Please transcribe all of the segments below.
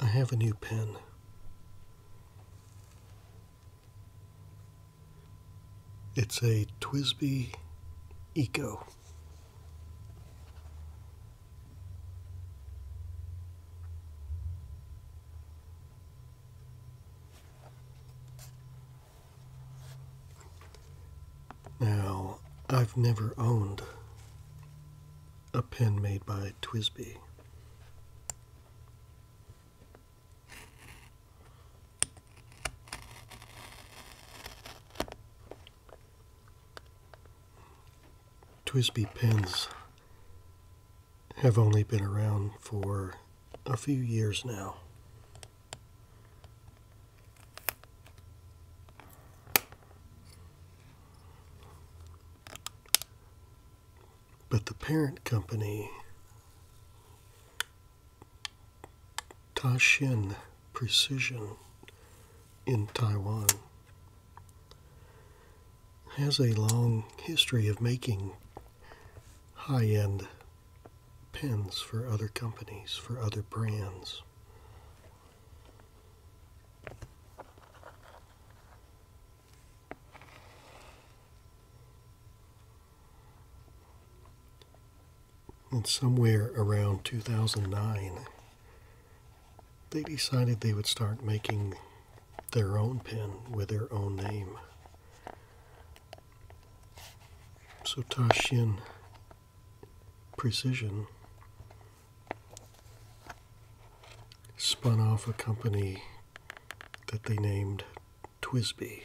I have a new pen. It's a Twisby Eco. Now, I've never owned a pen made by Twisby. Twisby pins have only been around for a few years now. But the parent company, Tashin Precision in Taiwan, has a long history of making high end pens for other companies, for other brands. And somewhere around 2009, they decided they would start making their own pen with their own name. So Tashin Precision spun off a company that they named Twisby.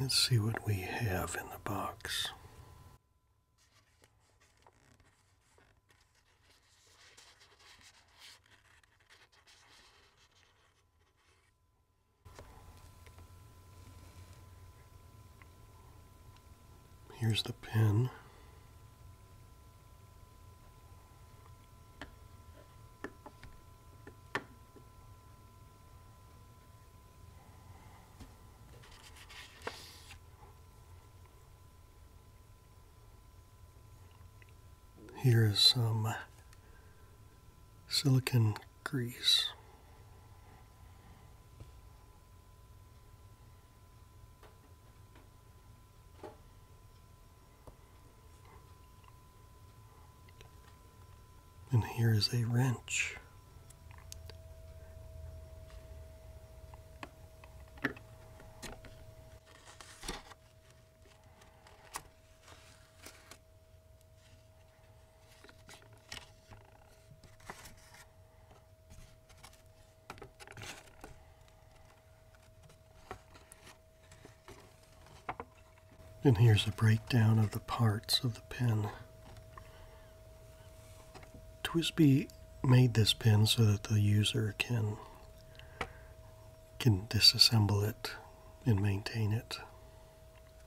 Let's see what we have in the box. Here's the pin. Here is some silicon grease. And here is a wrench. And here's a breakdown of the parts of the pen. Twisby made this pen so that the user can can disassemble it and maintain it.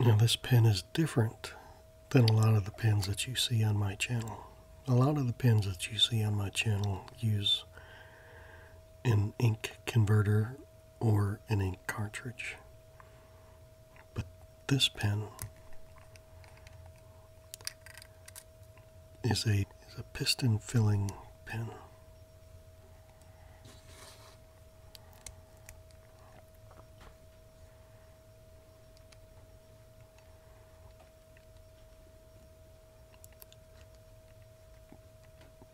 Now, this pen is different than a lot of the pens that you see on my channel. A lot of the pens that you see on my channel use an ink converter or an ink cartridge. But this pen is a, is a piston filling pen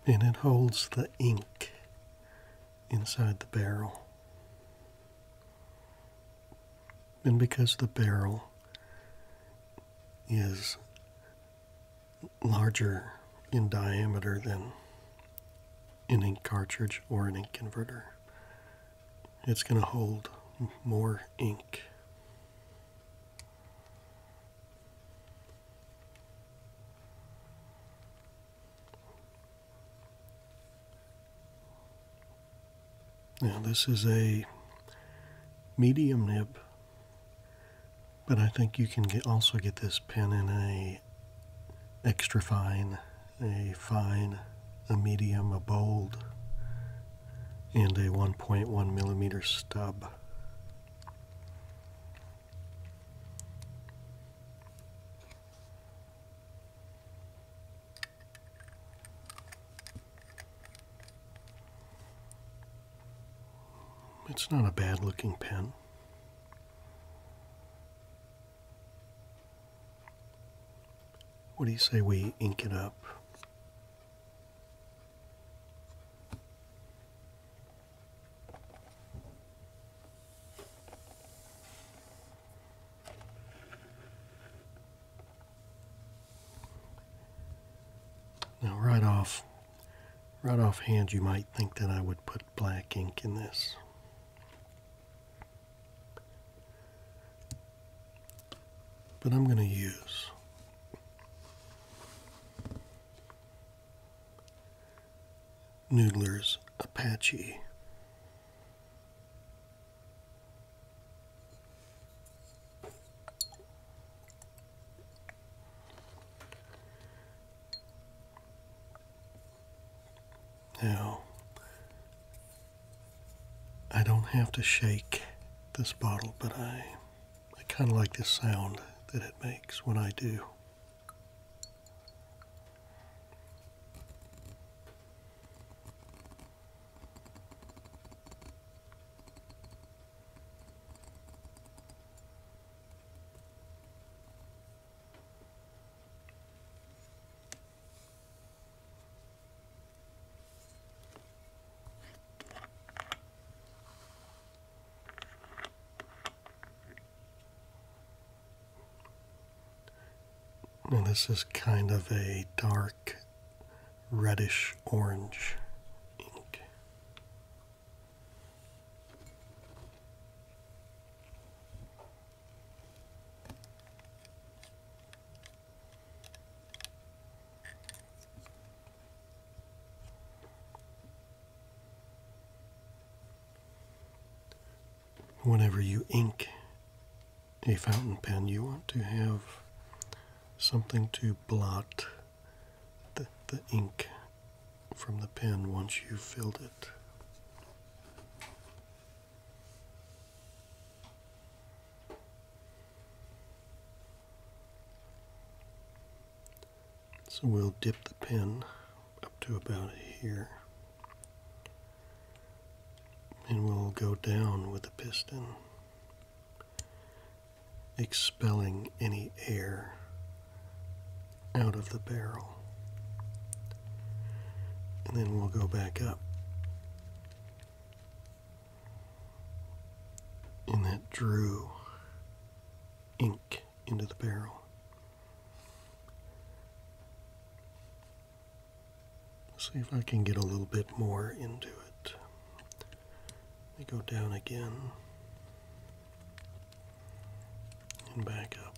and it holds the ink inside the barrel. And because the barrel is larger in diameter than an ink cartridge or an ink converter. It's going to hold more ink. Now this is a medium nib but I think you can also get this pen in a extra fine, a fine, a medium, a bold, and a 1.1 millimeter stub. It's not a bad looking pen. What do you say we ink it up? Now, right off Right offhand, you might think that I would put black ink in this. But I'm going to use Noodler's Apache now, I don't have to shake this bottle, but I, I kind of like the sound that it makes when I do. Now this is kind of a dark reddish orange ink. Whenever you ink a fountain pen, you want to have something to blot the, the ink from the pen once you filled it. So we'll dip the pen up to about here. And we'll go down with the piston, expelling any air out of the barrel. And then we'll go back up and that drew ink into the barrel. see if I can get a little bit more into it. Let me go down again and back up.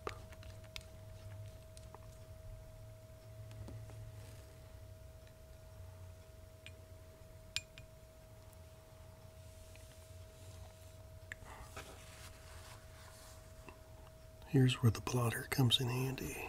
Here's where the plotter comes in handy.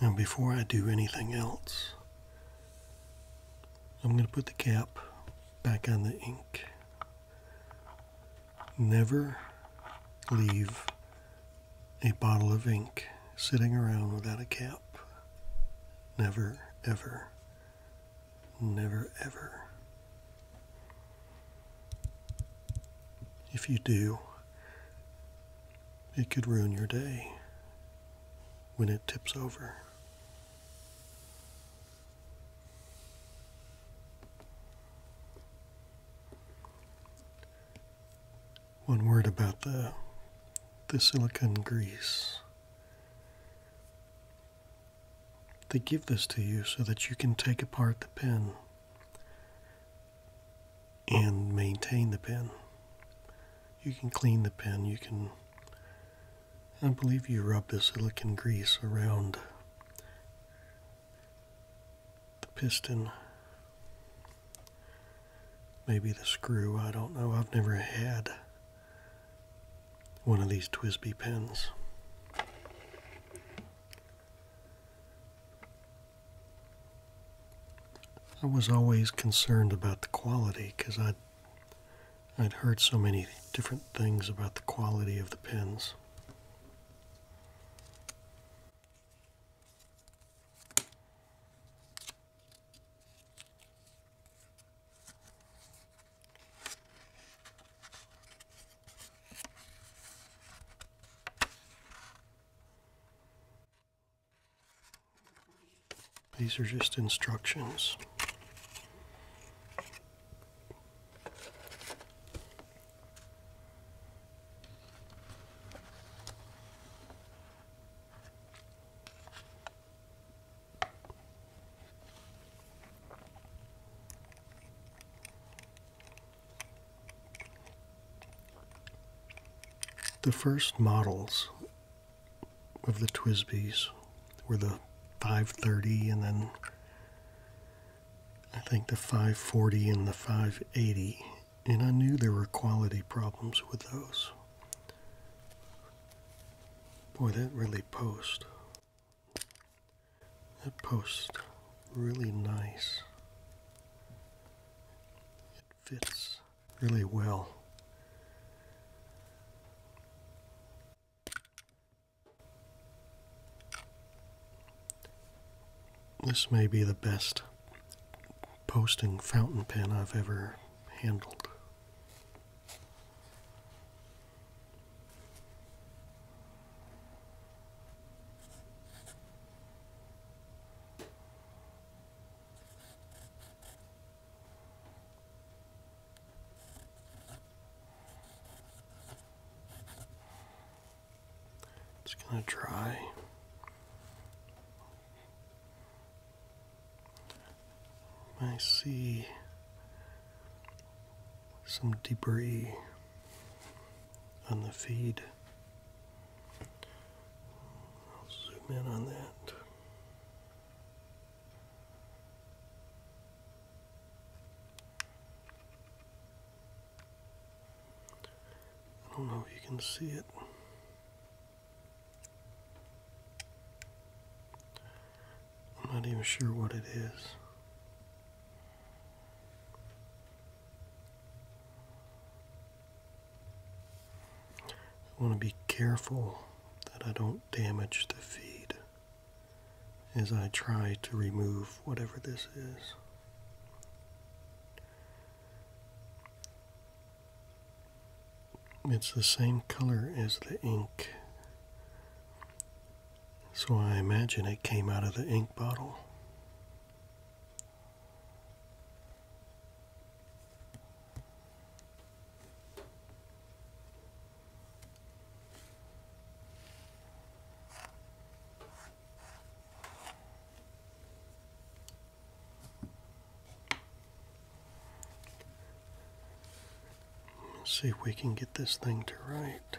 Now before I do anything else, I'm going to put the cap back on the ink. Never leave a bottle of ink sitting around without a cap. Never, ever, never, ever. If you do, it could ruin your day when it tips over. One word about the the silicone grease. They give this to you so that you can take apart the pen and maintain the pen. You can clean the pen, you can, I believe you rub the silicon grease around the piston, maybe the screw, I don't know, I've never had one of these Twisby pens. I was always concerned about the quality because I'd, I'd heard so many different things about the quality of the pens. These are just instructions. The first models of the Twisbies were the 530 and then I think the 540 and the 580, and I knew there were quality problems with those. Boy, that really post. That post really nice fits really well. This may be the best posting fountain pen I've ever handled. It's going to dry. I see some debris on the feed. I'll zoom in on that. I don't know if you can see it. I'm not even sure what it is. I want to be careful that I don't damage the feed as I try to remove whatever this is. It's the same color as the ink. So I imagine it came out of the ink bottle. Let's see if we can get this thing to right.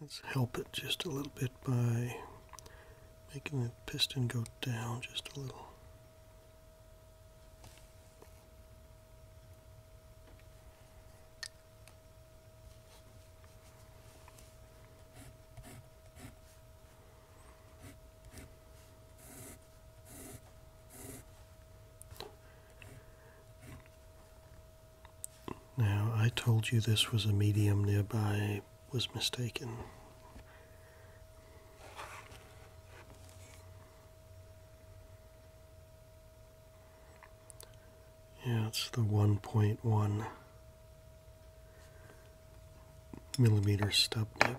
Let's help it just a little bit by making the piston go down just a little. Now, I told you this was a medium nearby, was mistaken. Yeah, it's the 1.1 millimeter step. nip.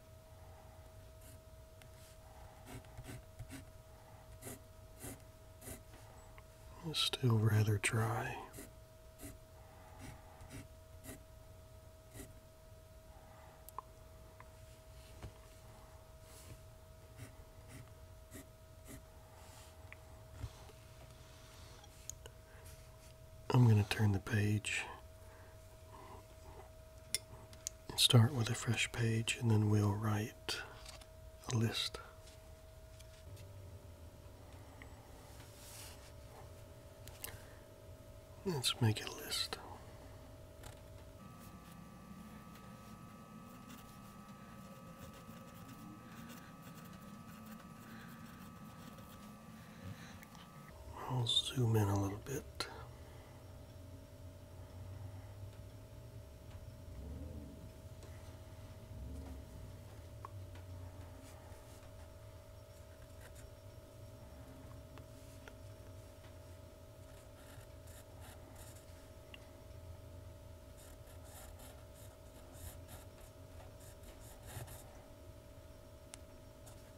It's still rather dry. I'm going to turn the page and start with a fresh page, and then we'll write a list. Let's make a list. I'll zoom in a little bit.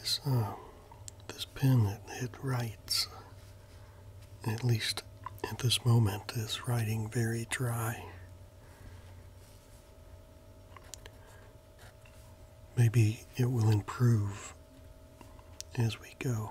This uh, this pen that it writes at least at this moment is writing very dry. Maybe it will improve as we go.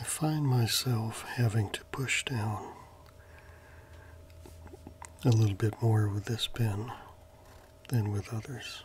I find myself having to push down a little bit more with this pen than with others.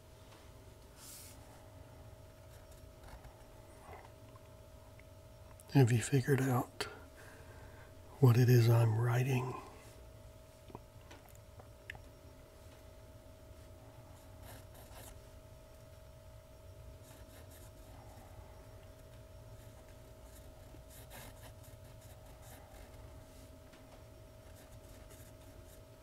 Have you figured out what it is I'm writing?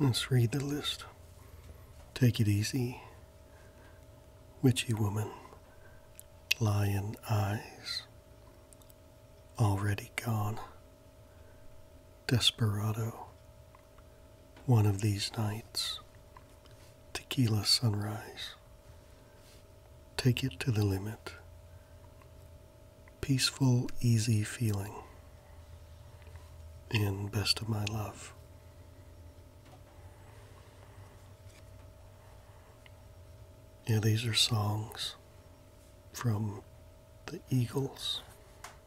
Let's read the list. Take it easy. Witchy woman. Lion eyes. Already gone. Desperado. One of these nights, tequila sunrise. Take it to the limit. Peaceful, easy feeling. And best of my love. Yeah, these are songs from the Eagles.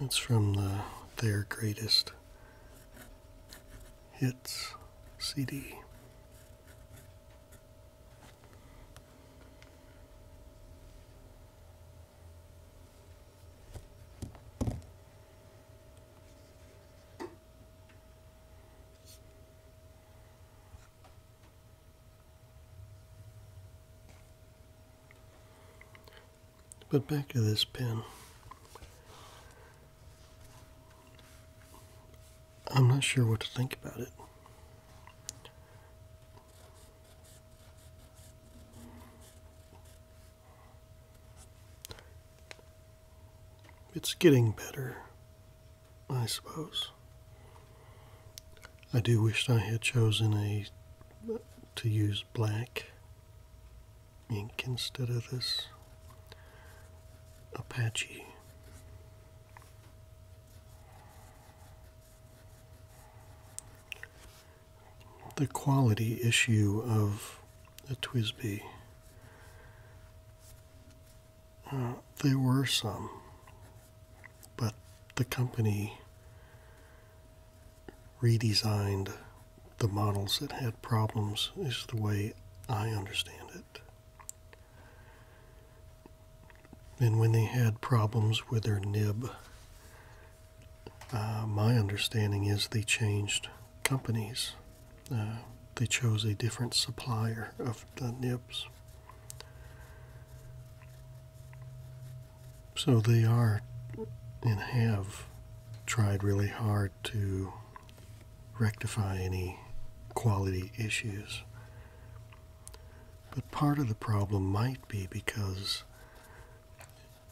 It's from Their Greatest Hits CD but back to this pen. I'm not sure what to think about it. It's getting better, I suppose. I do wish I had chosen a to use black ink instead of this Apache. The quality issue of a Twisby. Uh, there were some, but the company redesigned the models that had problems, is the way I understand it. And when they had problems with their nib, uh, my understanding is they changed companies. Uh, they chose a different supplier of the nibs. So they are and have tried really hard to rectify any quality issues. But part of the problem might be because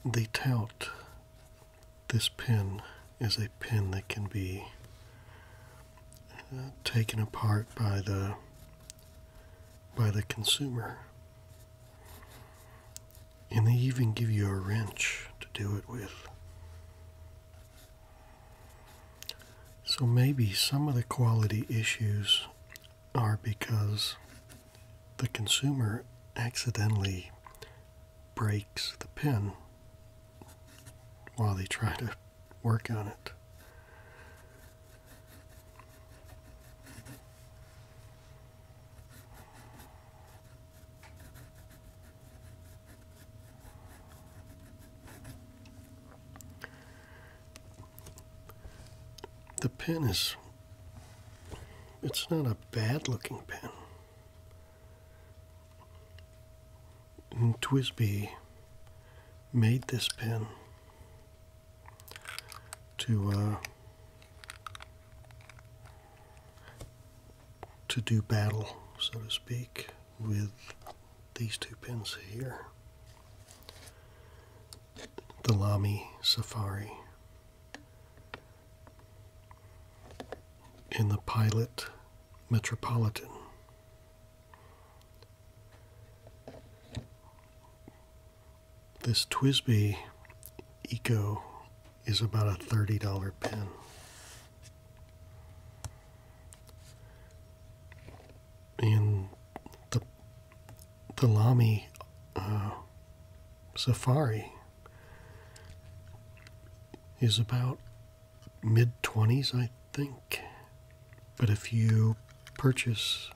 they tout this pin as a pin that can be uh, taken apart by the by the consumer and they even give you a wrench to do it with. So maybe some of the quality issues are because the consumer accidentally breaks the pin while they try to work on it. The pen is, it's not a bad looking pen. And Twisby made this pen to uh, to do battle, so to speak, with these two pins here. The Lami Safari and the Pilot Metropolitan. This Twisby Eco is about a $30 pen. And the, the Lamy uh, Safari is about mid 20s, I think. But if you purchase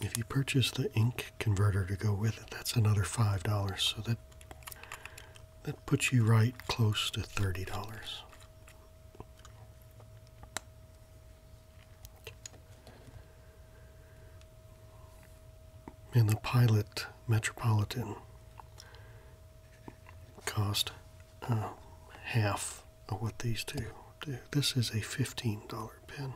if you purchase the ink converter to go with it, that's another five dollars. So that that puts you right close to thirty dollars. And the pilot metropolitan cost uh, half of oh, what these two do. This is a $15 pen.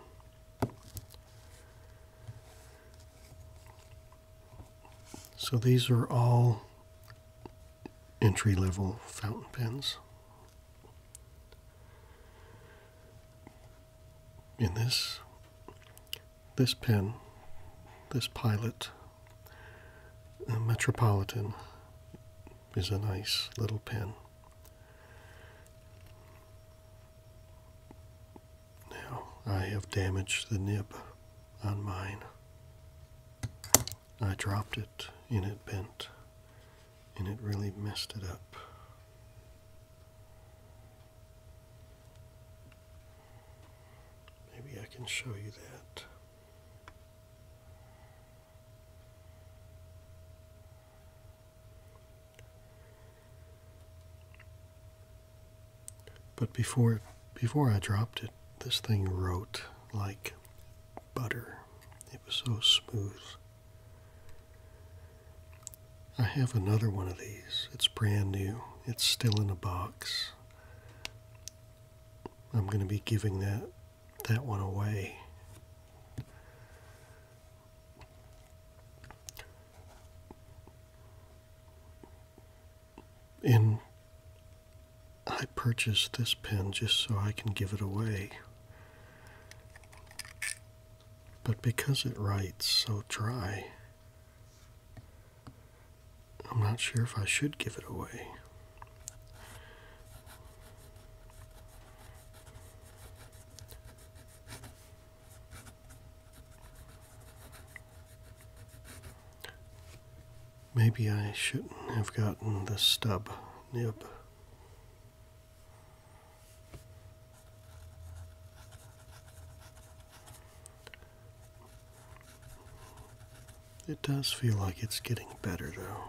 So these are all entry level fountain pens. In this this pen, this pilot, uh, Metropolitan is a nice little pen. Now I have damaged the nib on mine. I dropped it and it bent and it really messed it up. Maybe I can show you that. But before before I dropped it, this thing wrote like butter. It was so smooth. I have another one of these. It's brand new. It's still in a box. I'm going to be giving that that one away. And I purchased this pen just so I can give it away. But because it writes so dry, I'm not sure if I should give it away. Maybe I shouldn't have gotten the stub nib. It does feel like it's getting better though.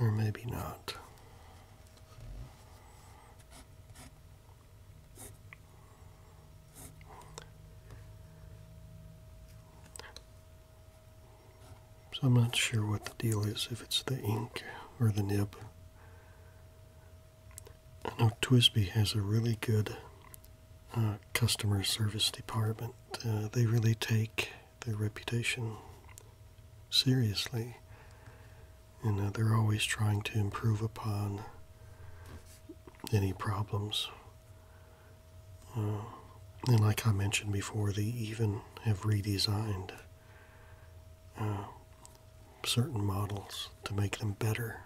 or maybe not. So I'm not sure what the deal is, if it's the ink or the nib. I Twisby has a really good uh, customer service department. Uh, they really take their reputation seriously, and uh, they're always trying to improve upon any problems. Uh, and like I mentioned before, they even have redesigned uh, certain models to make them better.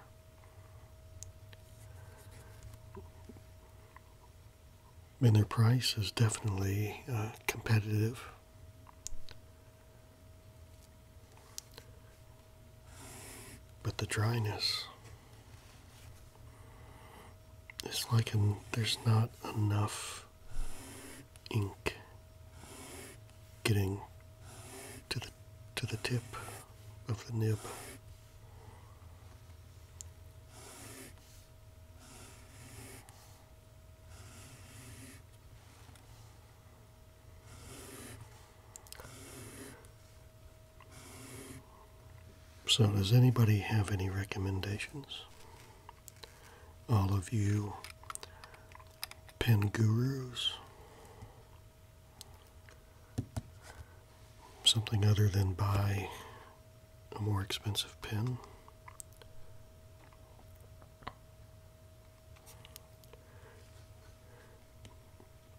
And their price is definitely uh, competitive. But the dryness is like there's not enough ink getting to the to the tip of the nib. So, does anybody have any recommendations? All of you pen gurus? Something other than buy a more expensive pen.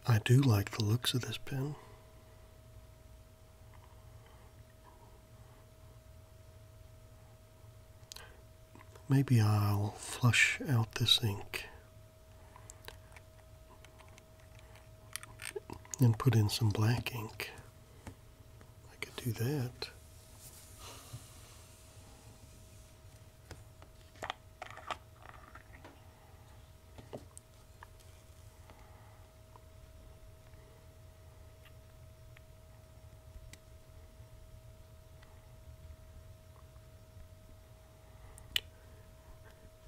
I do like the looks of this pen. Maybe I'll flush out this ink and put in some black ink. I could do that.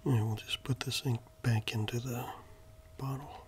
And we'll just put this ink back into the bottle.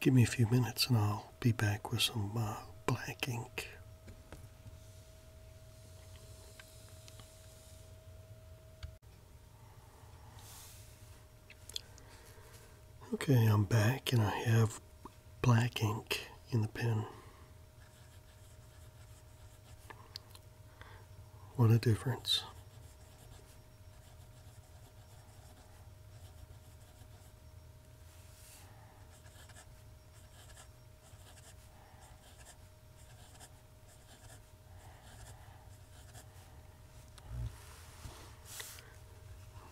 Give me a few minutes and I'll be back with some uh, black ink. Okay, I'm back and I have black ink in the pen. What a difference.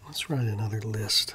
Let's write another list.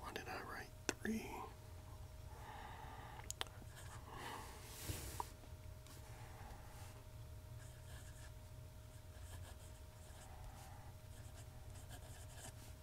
Why did I write three?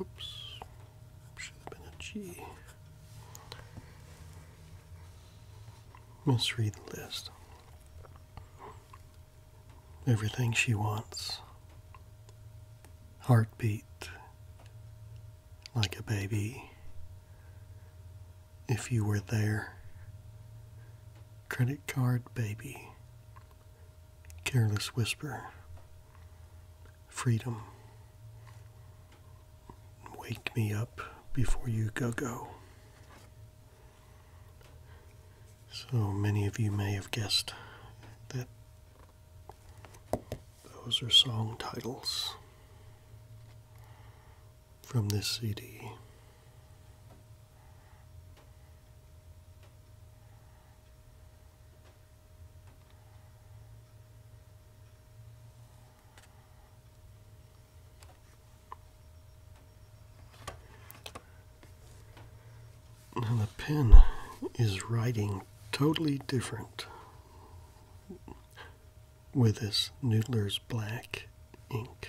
Oops, should have been a G. Let's read the list. Everything she wants. Heartbeat. Like a baby. If you were there. Credit card baby. Careless whisper. Freedom. Wake me up before you go go. So many of you may have guessed that those are song titles from this CD. Now the pen is writing totally different with this Noodler's black ink.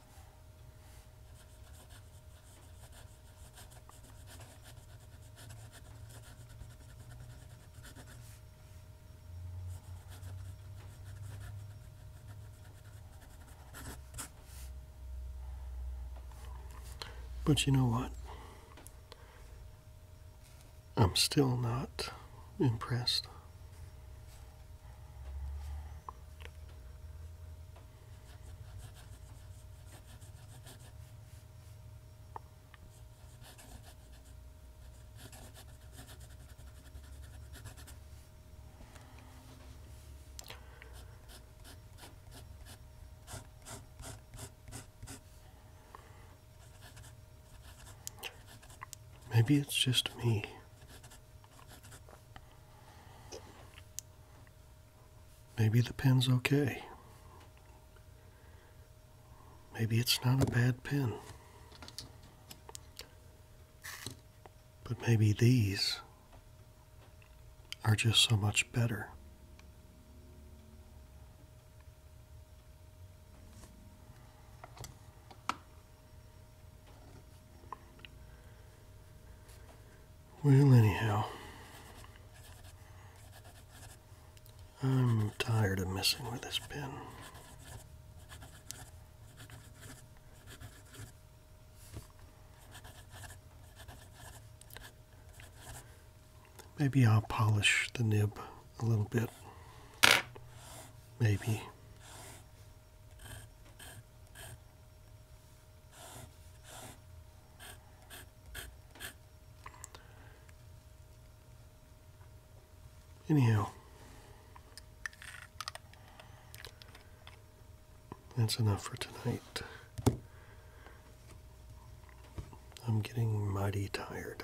But you know what? I'm still not impressed. Maybe it's just me. Maybe the pen's okay. Maybe it's not a bad pen. But maybe these are just so much better. Well, anyhow, I'm tired of messing with this pen. Maybe I'll polish the nib a little bit. Maybe. Anyhow, that's enough for tonight. I'm getting mighty tired.